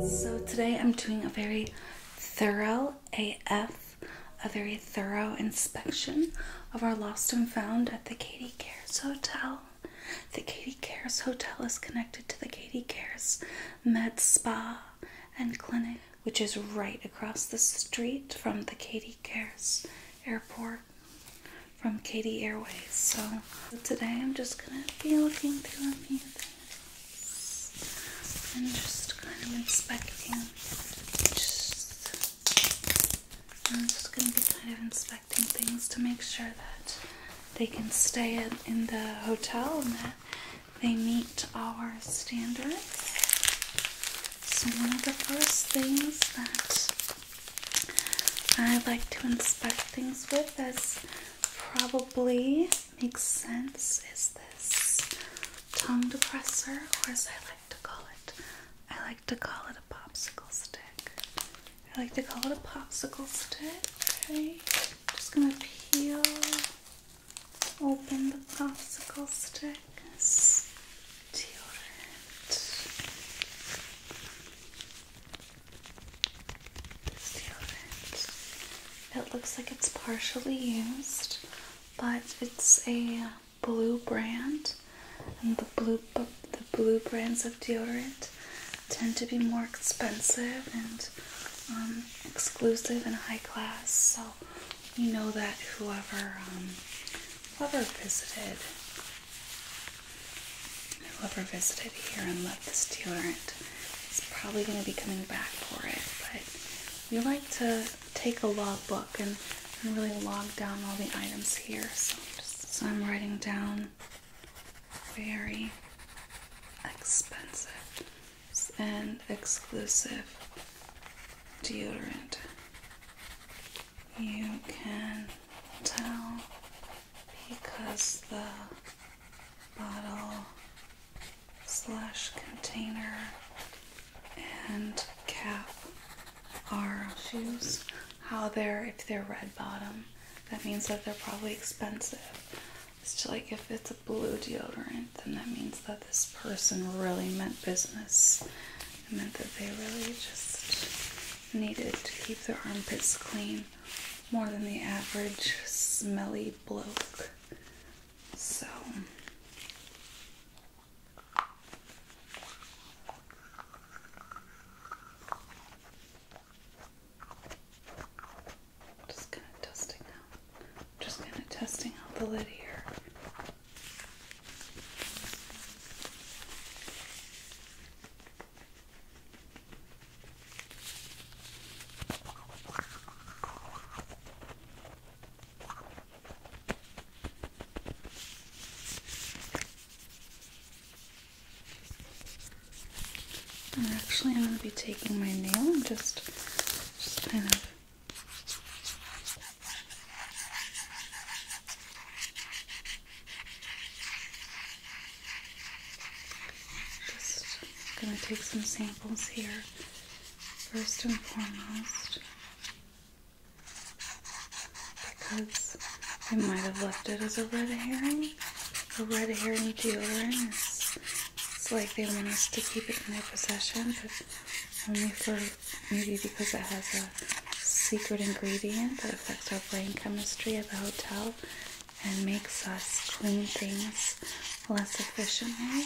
So today I'm doing a very thorough AF, a very thorough inspection of our lost and found at the Katie Cares Hotel. The Katie Cares Hotel is connected to the Katie Cares Med Spa and Clinic which is right across the street from the Katy Cares Airport from Katy Airways. So today I'm just gonna be looking through a few things and just kind of inspecting. Just, I'm just gonna be kind of inspecting things to make sure that they can stay in the hotel and that they meet our standards. So, one of the first things that I like to inspect things with, as probably makes sense, is this tongue depressor, or as I like to call it, I like to call it a popsicle stick. I like to call it a popsicle stick. Okay, just gonna peel open the popsicle sticks to it. Deodorant. It looks like it's partially used, but it's a blue brand, and the blue the blue brands of deodorant tend to be more expensive and um, exclusive and high class. So well. We know that whoever um, whoever visited whoever visited here and left this deodorant is probably going to be coming back for it. But we like to take a logbook and, and really log down all the items here. so I'm writing down very expensive and exclusive deodorant. You can tell because the bottle slash container and cap are shoes how they're if they're red bottom that means that they're probably expensive it's like if it's a blue deodorant, then that means that this person really meant business. meant that they really just needed to keep their armpits clean more than the average smelly bloke. So. Just kind of dusting out just kind of testing out the lid here. actually, I'm going to be taking my nail and just, just kind of just gonna take some samples here first and foremost because I might have left it as a red herring. A red herring deodorant is it's like they want us to keep it in their possession, only for maybe because it has a secret ingredient that affects our brain chemistry at the hotel and makes us clean things less efficiently.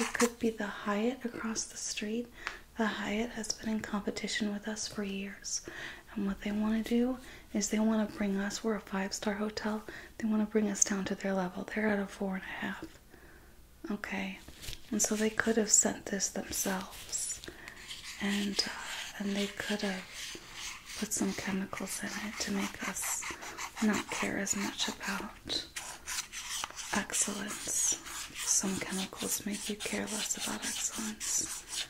It could be the Hyatt across the street. The Hyatt has been in competition with us for years. And what they want to do is they want to bring us, we're a five star hotel, they want to bring us down to their level. They're at a four and a half. Okay, and so they could have sent this themselves, and uh, and they could have put some chemicals in it to make us not care as much about excellence. Some chemicals make you care less about excellence.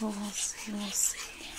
we'll see. We'll see.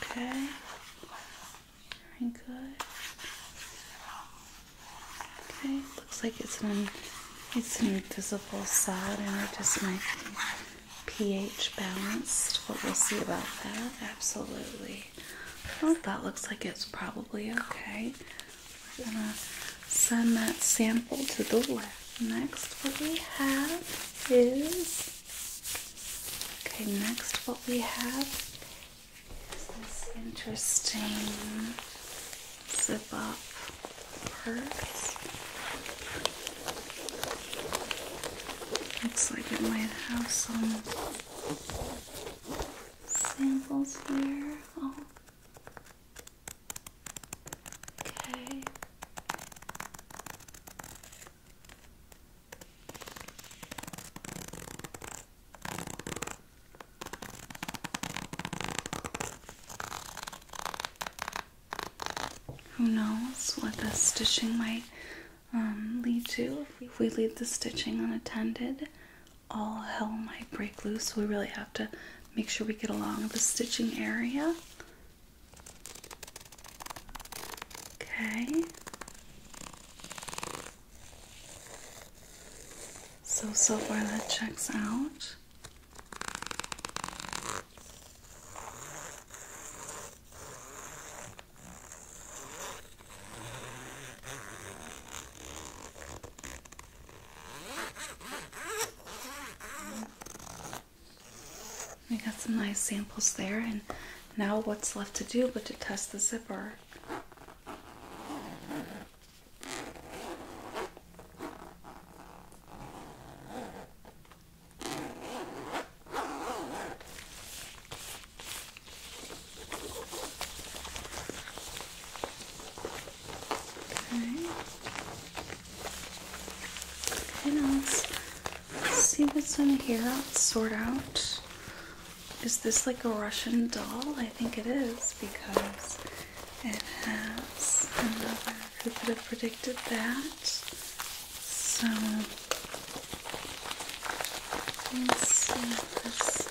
Okay. Very good. Okay, looks like it's an it's an invisible solid, and it just making pH balanced. But we'll see about that. Absolutely. that looks like it's probably okay. I'm gonna send that sample to the lab next what we have is okay next what we have is this interesting zip up purse looks like it might have some samples here oh Okay. Who knows what the stitching might um, lead to? If we leave the stitching unattended, all hell might break loose. We really have to make sure we get along the stitching area Okay. So, so far that checks out. We got some nice samples there, and now what's left to do but to test the zipper. Okay. Okay, now let's, see what's in here. Let's sort out. Is this like a Russian doll? I think it is because it has another who could have predicted that. So let's see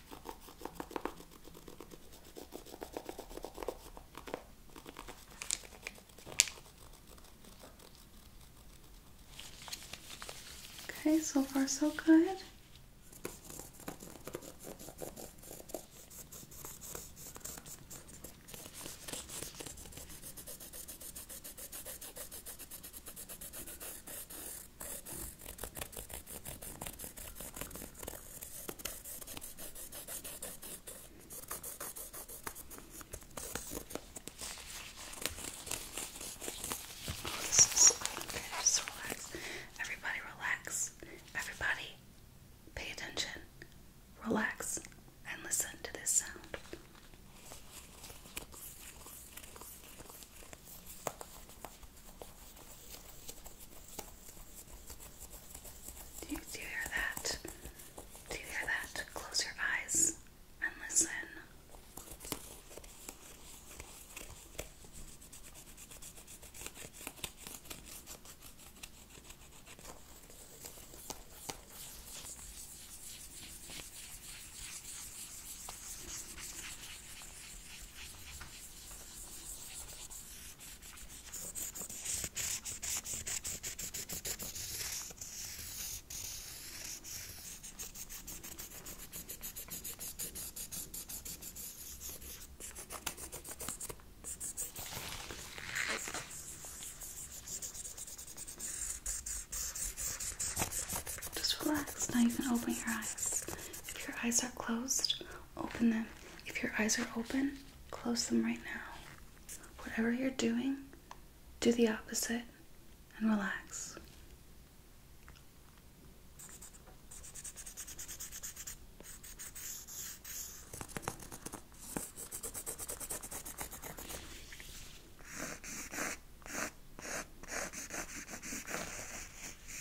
Okay, so far so good this is so okay, just relax. Everybody relax. Everybody pay attention. Relax and listen to this sound. Do you, hear that? Do you hear that? Close your eyes and listen. Just relax. Now you can open your eyes. If your eyes are closed, open them. If your eyes are open, close them right now. Whatever you're doing, do the opposite and relax.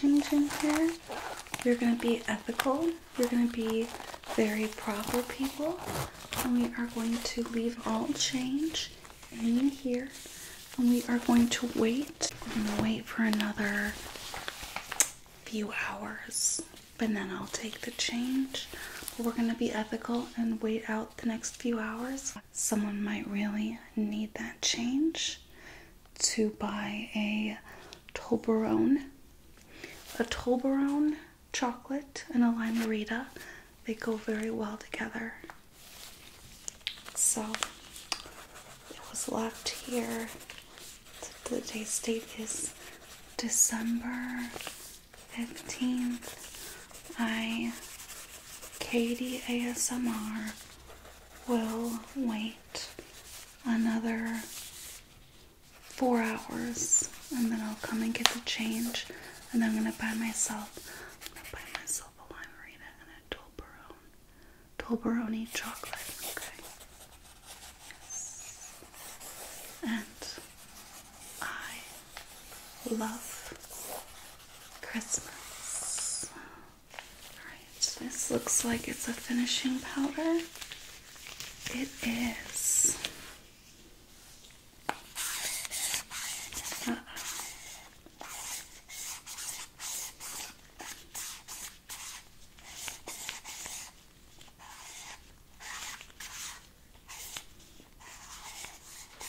Changing Chin here. You're going to be ethical again, you're going to be very proper people, and we are going to leave all change in here, and we are going to wait. We're going to wait for another few hours, but then I'll take the change. we're going to be ethical and wait out the next few hours. Someone might really need that change to buy a Toblerone a Toblerone chocolate and a Lime They go very well together. So it was left here. The date is December 15th. I, Katie ASMR, will wait another four hours and then I'll come and get the change and I'm gonna buy myself buy myself a limerina and a Toblerone Toblerone chocolate okay and I love Christmas alright this looks like it's a finishing powder it is. Uh -oh.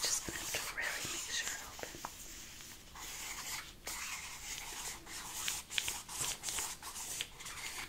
just gonna have to really make sure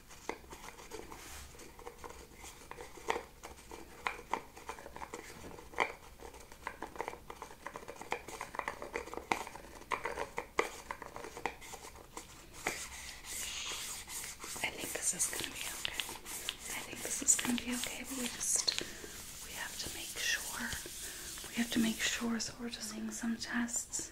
I think this is gonna be okay. I think this is gonna be okay, but we just we have to make sure. We have to make sure, so we're doing some tests.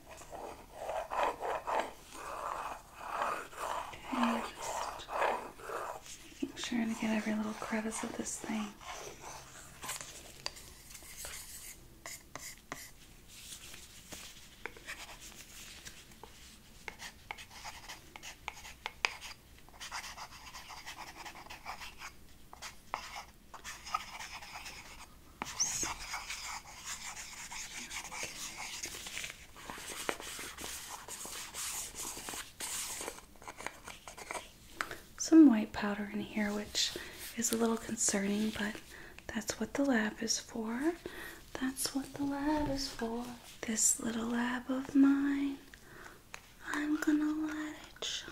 Okay, just making sure to get every little crevice of this thing. Some white powder in here, which is a little concerning, but that's what the lab is for. That's what the lab is for. This little lab of mine, I'm gonna let it shine.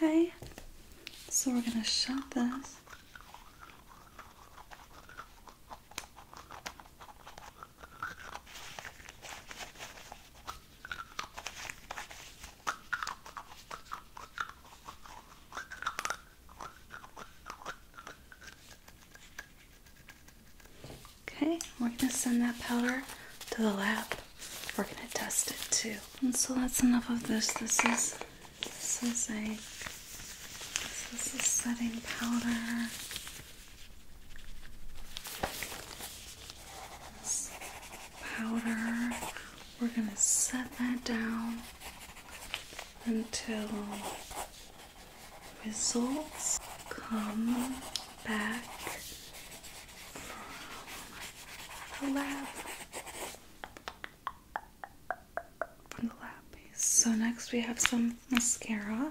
Okay, so we're going to shut this. Okay, we're going to send that powder to the lab. We're going to test it too. And so that's enough of this. This is this is a this is setting powder. powder we're going to set that down until results come back from the lab. From the lab So next we have some mascara.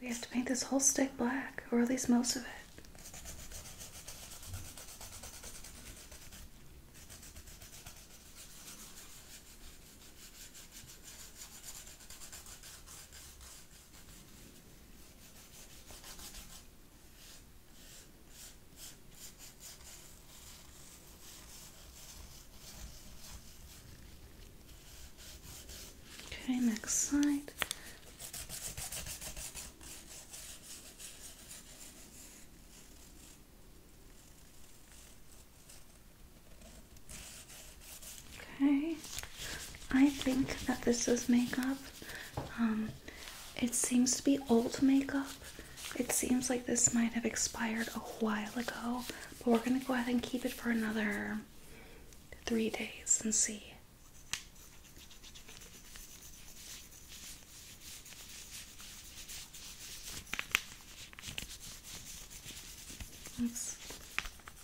We have to paint this whole stick black, or at least most of it. Okay, next side. Okay, I think that this is makeup. Um, it seems to be old makeup. It seems like this might have expired a while ago, but we're gonna go ahead and keep it for another three days and see.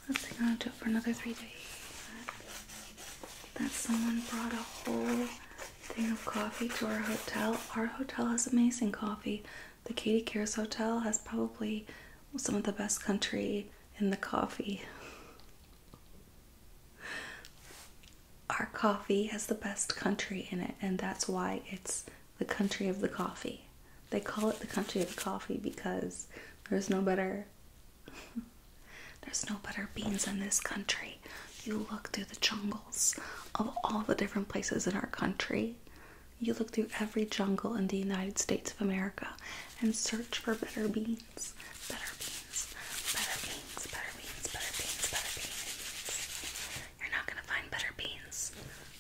I think i are gonna do for another three days. That someone brought a whole thing of coffee to our hotel. Our hotel has amazing coffee. The Katie Cares Hotel has probably some of the best country in the coffee. Our coffee has the best country in it, and that's why it's the country of the coffee. They call it the country of coffee because there's no better there's no better beans in this country. You look through the jungles of all the different places in our country. You look through every jungle in the United States of America and search for better beans. Better beans. Better beans. Better beans. Better beans. Better beans. You're not going to find better beans.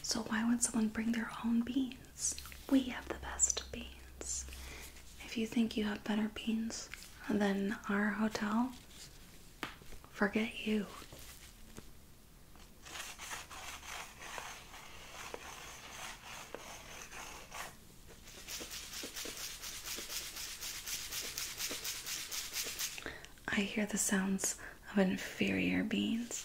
So, why would someone bring their own beans? We have the best beans. If you think you have better beans than our hotel, forget you. I hear the sounds of inferior beings.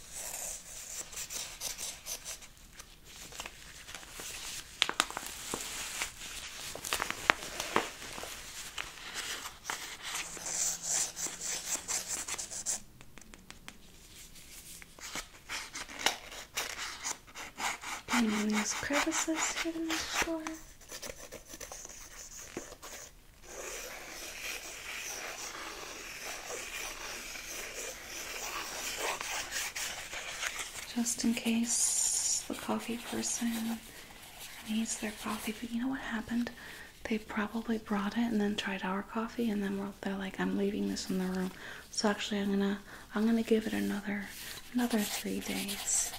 Painting these crevices here in the floor. Just in case the coffee person needs their coffee. But you know what happened? They probably brought it and then tried our coffee, and then they're like, "I'm leaving this in the room." So actually, I'm gonna I'm gonna give it another another three days,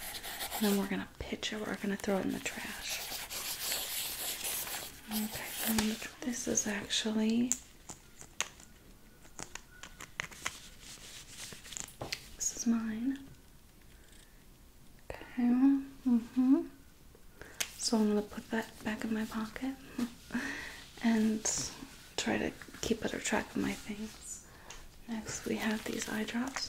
and then we're gonna pitch it. We're gonna throw it in the trash. Okay, this is actually this is mine. Okay. hmm So I'm gonna put that back in my pocket and try to keep better track of my things. Next we have these eye drops.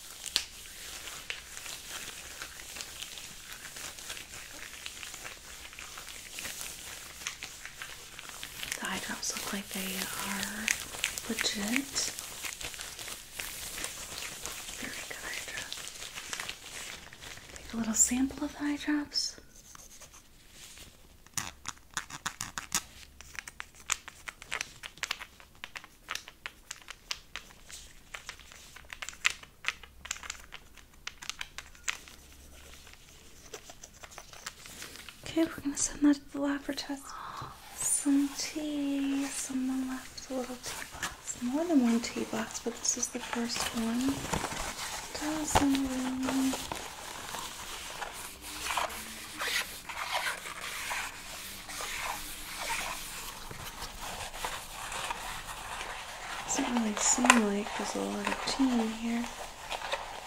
The eye drops look like they are legit. Very good eye Take a little sample of the eye drops. Okay, we're gonna send that to the lab for test. Some tea, someone left a little tea box. More than one tea box, but this is the first one. Doesn't really seem like there's a lot of tea in here.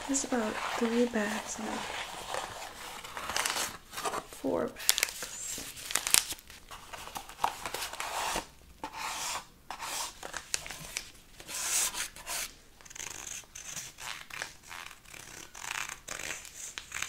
There's about three bags now. Four bags.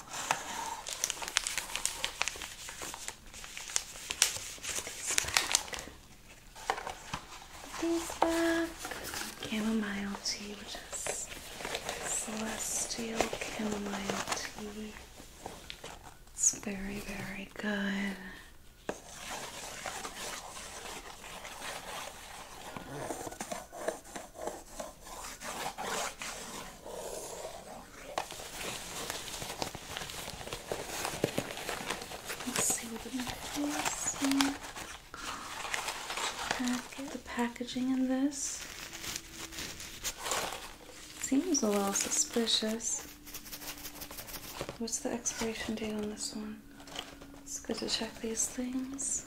This back. These back. Chamomile tea, which is celestial chamomile tea. It's very, very good. Let's see what the back Pack the packaging in this seems a little suspicious. What's the expiration date on this one? It's good to check these things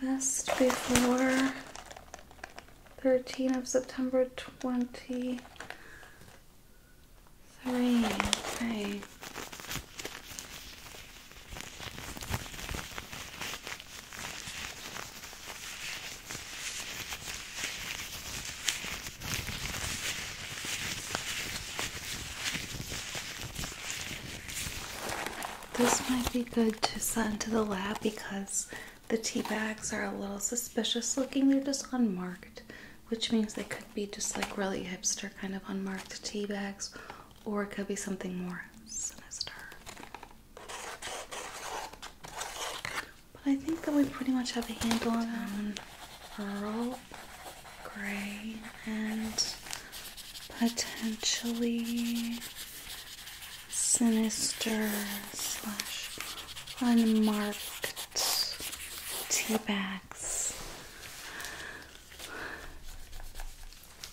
best before 13 of September 23. This might be good to send to the lab because the tea bags are a little suspicious looking. They're just unmarked, which means they could be just like really hipster kind of unmarked tea bags, or it could be something more sinister. But I think that we pretty much have a handle on pearl Grey and potentially sinister slash unmarked tea bags.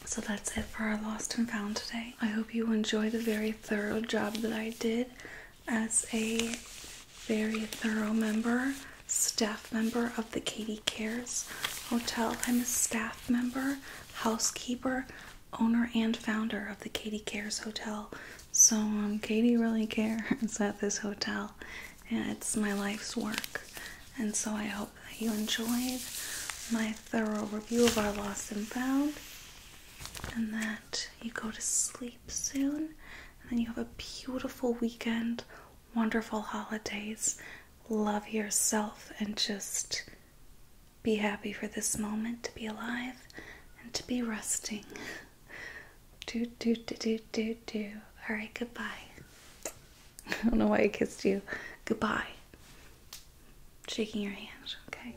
So that's it for our lost and found today. I hope you enjoy the very thorough job that I did as a very thorough member, staff member of the Katie Cares Hotel. I'm a staff member housekeeper, owner, and founder of the Katie Cares Hotel. So, um, Katie really cares at this hotel. Yeah, it's my life's work. And so, I hope that you enjoyed my thorough review of our Lost and Found and that you go to sleep soon and then you have a beautiful weekend, wonderful holidays. Love yourself and just be happy for this moment to be alive and to be resting. Do, do, do, do, do, do. All right, goodbye. I don't know why I kissed you. Goodbye. Shaking your hand, okay?